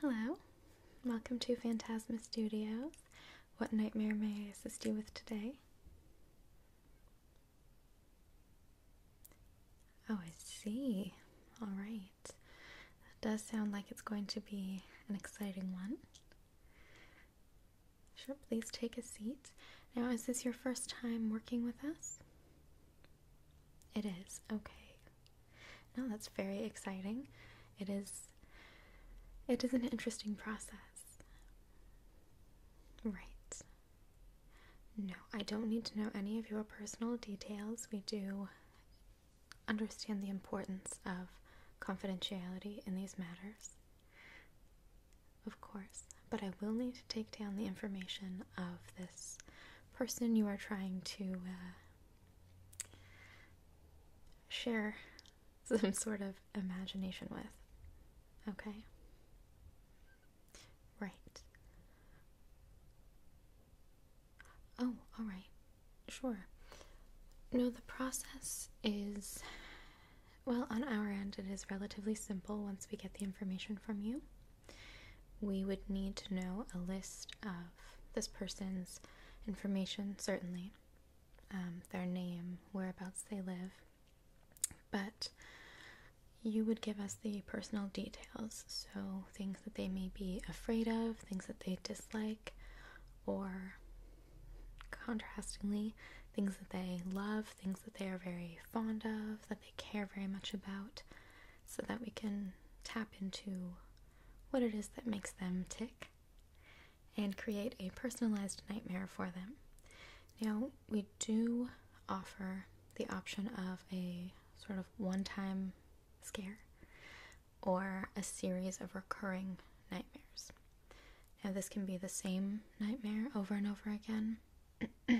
Hello, welcome to Phantasma Studios. What nightmare may I assist you with today? Oh, I see. All right. That does sound like it's going to be an exciting one. Sure, please take a seat. Now, is this your first time working with us? It is. Okay, no, that's very exciting. It is it is an interesting process. Right. No, I don't need to know any of your personal details. We do understand the importance of confidentiality in these matters. Of course, but I will need to take down the information of this person you are trying to uh, share some sort of imagination with. Okay? Right. Oh, alright. Sure. No, the process is. Well, on our end, it is relatively simple once we get the information from you we would need to know a list of this person's information, certainly, um, their name, whereabouts they live, but you would give us the personal details, so things that they may be afraid of, things that they dislike, or contrastingly, things that they love, things that they are very fond of, that they care very much about, so that we can tap into what it is that makes them tick and create a personalized nightmare for them. Now, we do offer the option of a sort of one time scare or a series of recurring nightmares. Now, this can be the same nightmare over and over again,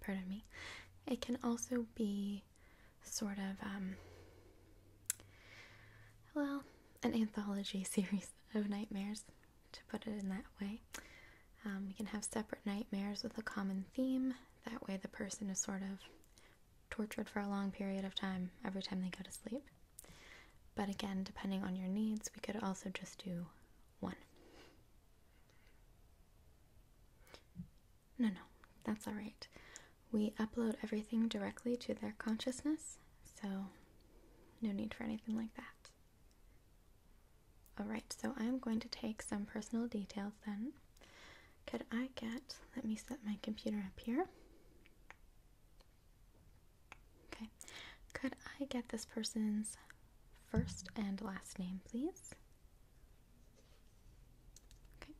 pardon me, it can also be sort of, um, well, an anthology series of nightmares, to put it in that way. Um, we can have separate nightmares with a common theme. That way, the person is sort of tortured for a long period of time every time they go to sleep. But again, depending on your needs, we could also just do one. No, no, that's all right. We upload everything directly to their consciousness, so no need for anything like that. All right, so I'm going to take some personal details then. Could I get, let me set my computer up here. Okay, could I get this person's First and last name, please. Okay.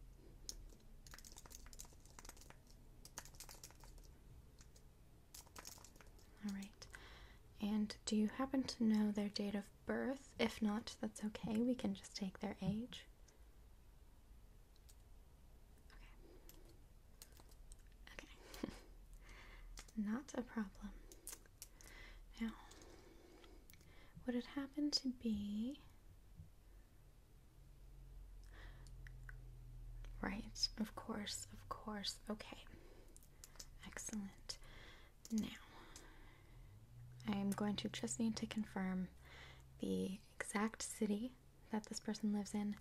All right. And do you happen to know their date of birth? If not, that's okay. We can just take their age. Okay. Okay. not a problem. Now, would it happen to be right? Of course, of course. Okay, excellent. Now, I am going to just need to confirm the exact city that this person lives in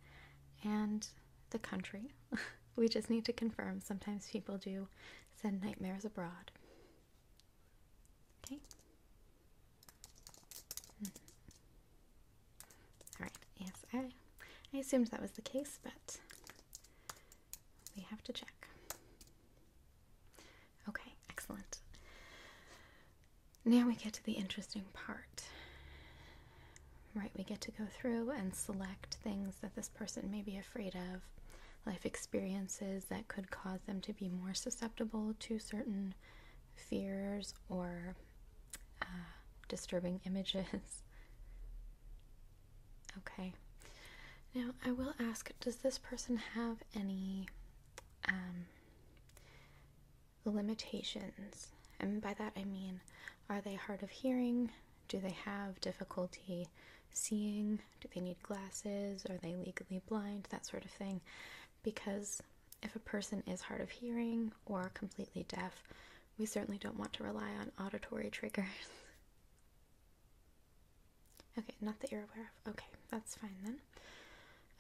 and the country we just need to confirm. Sometimes people do send nightmares abroad. Okay. Hmm. All right. Yes, I I assumed that was the case, but we have to check. Okay, excellent. Now we get to the interesting part. Right, we get to go through and select things that this person may be afraid of, life experiences that could cause them to be more susceptible to certain fears or uh, disturbing images. okay, now I will ask does this person have any um, limitations? And by that I mean, are they hard of hearing? Do they have difficulty seeing? Do they need glasses? Are they legally blind? That sort of thing. Because if a person is hard of hearing or completely deaf, we certainly don't want to rely on auditory triggers. okay, not that you're aware of. Okay, that's fine then.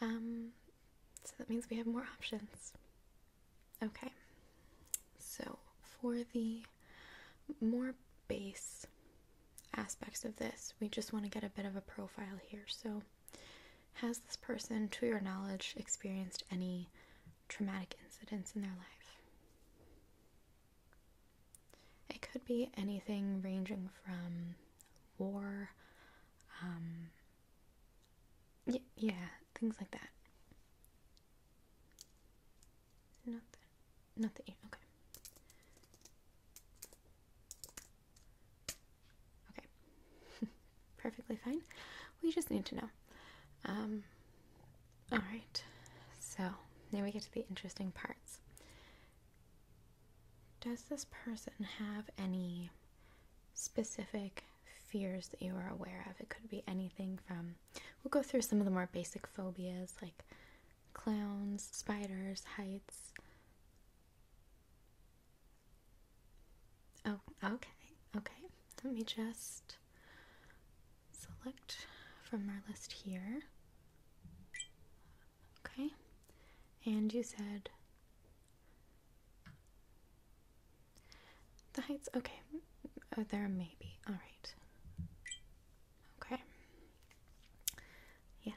Um, so that means we have more options. Okay, so for the more base aspects of this, we just want to get a bit of a profile here. So, has this person, to your knowledge, experienced any traumatic incidents in their life? It could be anything ranging from war, um, yeah, yeah, things like that. Not that, not the Okay. Okay. Perfectly fine. We just need to know. Um. All right. So now we get to the interesting parts. Does this person have any specific fears that you are aware of. It could be anything from, we'll go through some of the more basic phobias like clowns, spiders, heights. Oh, okay, okay. Let me just select from our list here. Okay, and you said the heights, okay. Oh, there be All right. Okay. Yes.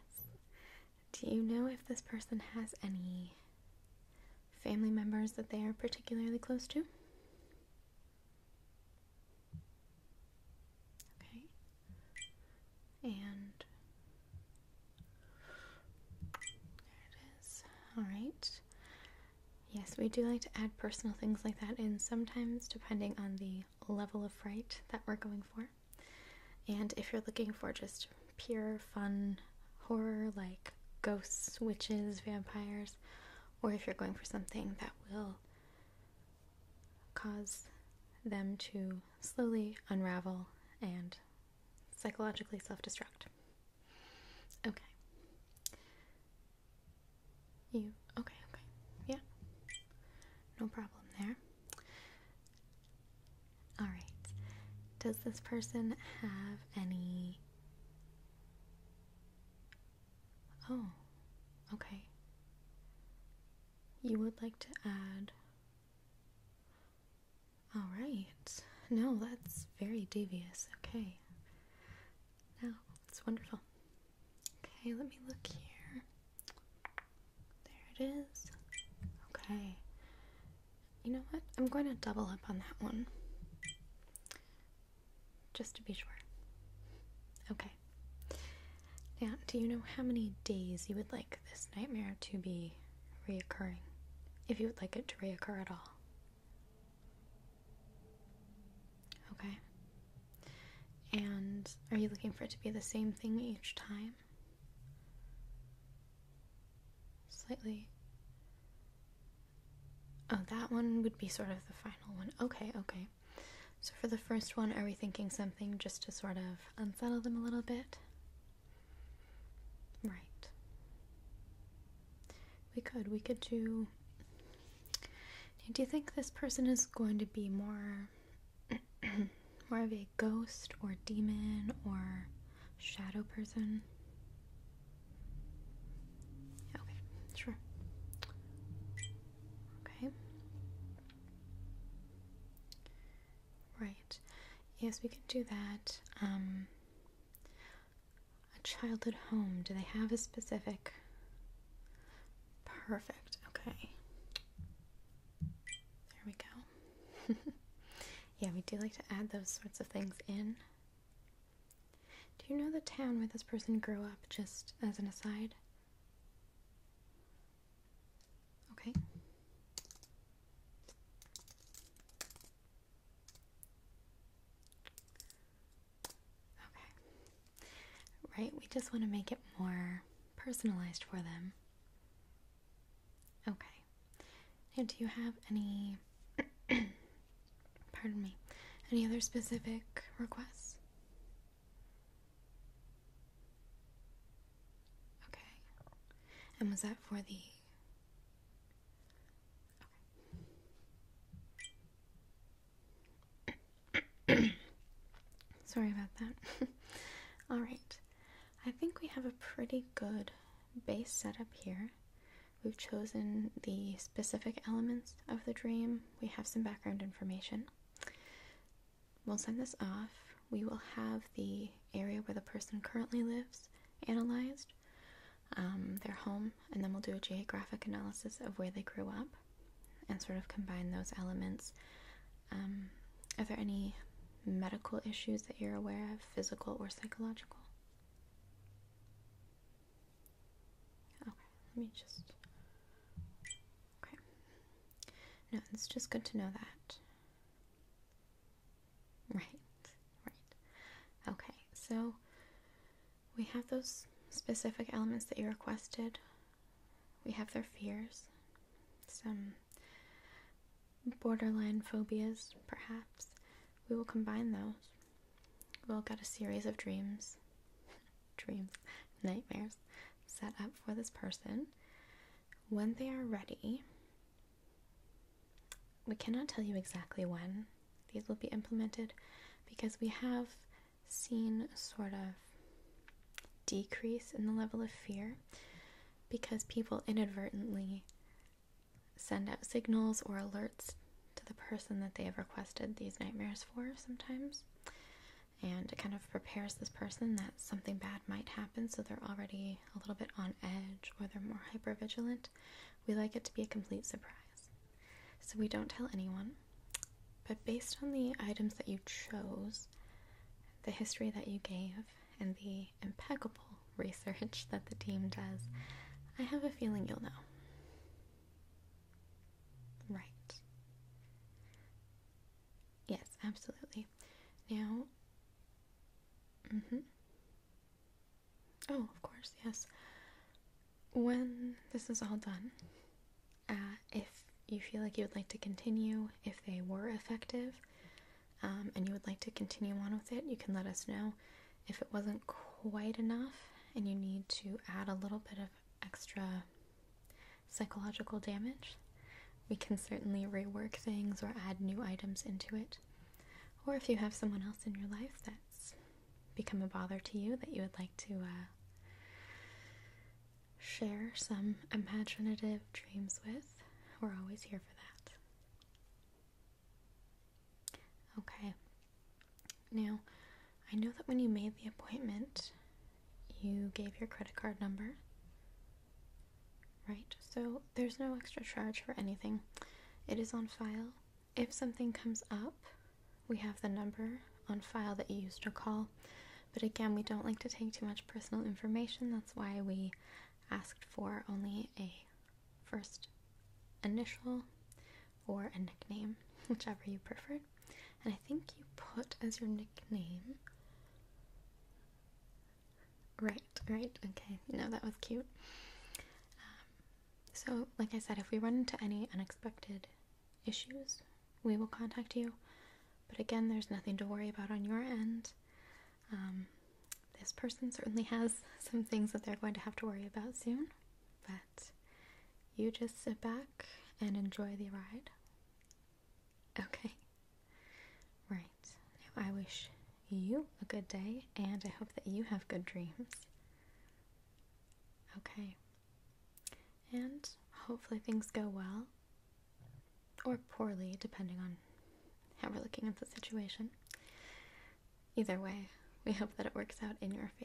Do you know if this person has any family members that they are particularly close to? Okay. And there it is. All right. Yes, we do like to add personal things like that in sometimes, depending on the level of fright that we're going for. And if you're looking for just pure fun horror like ghosts, witches, vampires, or if you're going for something that will cause them to slowly unravel and psychologically self destruct. Okay. You okay, okay. Yeah. No problem there. Alright. Does this person have any Oh, okay. You would like to add all right. No, that's very devious. Okay. No, it's wonderful. Okay, let me look here. There it is. Okay. You know what? I'm going to double up on that one. Just to be sure. Okay. Now, do you know how many days you would like? this nightmare to be reoccurring, if you would like it to reoccur at all. Okay. And are you looking for it to be the same thing each time? Slightly. Oh, that one would be sort of the final one. Okay, okay. So for the first one, are we thinking something just to sort of unsettle them a little bit? Right. We could. We could do. Do you think this person is going to be more. more of a ghost or demon or shadow person? Okay, sure. Okay. Right. Yes, we can do that. Um, a childhood home. Do they have a specific? Perfect. Okay. There we go. yeah, we do like to add those sorts of things in. Do you know the town where this person grew up, just as an aside? Okay. Okay. Right? We just want to make it more personalized for them. Okay. Now, do you have any. pardon me. Any other specific requests? Okay. And was that for the. Sorry about that. All right. I think we have a pretty good base setup here. We've chosen the specific elements of the dream. We have some background information. We'll send this off. We will have the area where the person currently lives analyzed, um, their home, and then we'll do a geographic analysis of where they grew up and sort of combine those elements. Um, are there any medical issues that you're aware of, physical or psychological? Okay, let me just Okay. No, it's just good to know that. Right, right. Okay, so we have those specific elements that you requested. We have their fears, some borderline phobias, perhaps. We will combine those. We'll get a series of dreams, dreams, nightmares, set up for this person. When they are ready, we cannot tell you exactly when these will be implemented because we have seen sort of decrease in the level of fear because people inadvertently send out signals or alerts to the person that they have requested these nightmares for sometimes and it kind of prepares this person that something bad might happen, so they're already a little bit on edge or they're more hyper vigilant. We like it to be a complete surprise. So we don't tell anyone, but based on the items that you chose, the history that you gave, and the impeccable research that the team does, I have a feeling you'll know. Right. Yes, absolutely. Now, mm-hmm. Oh, of course, yes. When this is all done, uh, if you feel like you would like to continue, if they were effective, um, and you would like to continue on with it, you can let us know. If it wasn't quite enough and you need to add a little bit of extra psychological damage, we can certainly rework things or add new items into it. Or if you have someone else in your life that's become a bother to you that you would like to uh, share some imaginative dreams with, we're always here for that. Okay, now, I know that when you made the appointment, you gave your credit card number. Right, so there's no extra charge for anything. It is on file. If something comes up, we have the number on file that you used to call. But again, we don't like to take too much personal information. That's why we asked for only a first initial or a nickname, whichever you preferred and I think you put as your nickname. Right, right, okay. No, that was cute. Um, so, like I said, if we run into any unexpected issues, we will contact you. But again, there's nothing to worry about on your end. Um, this person certainly has some things that they're going to have to worry about soon, but you just sit back and enjoy the ride. Okay. Right. I wish you a good day and I hope that you have good dreams. Okay. And hopefully things go well or poorly, depending on how we're looking at the situation. Either way, we hope that it works out in your favor.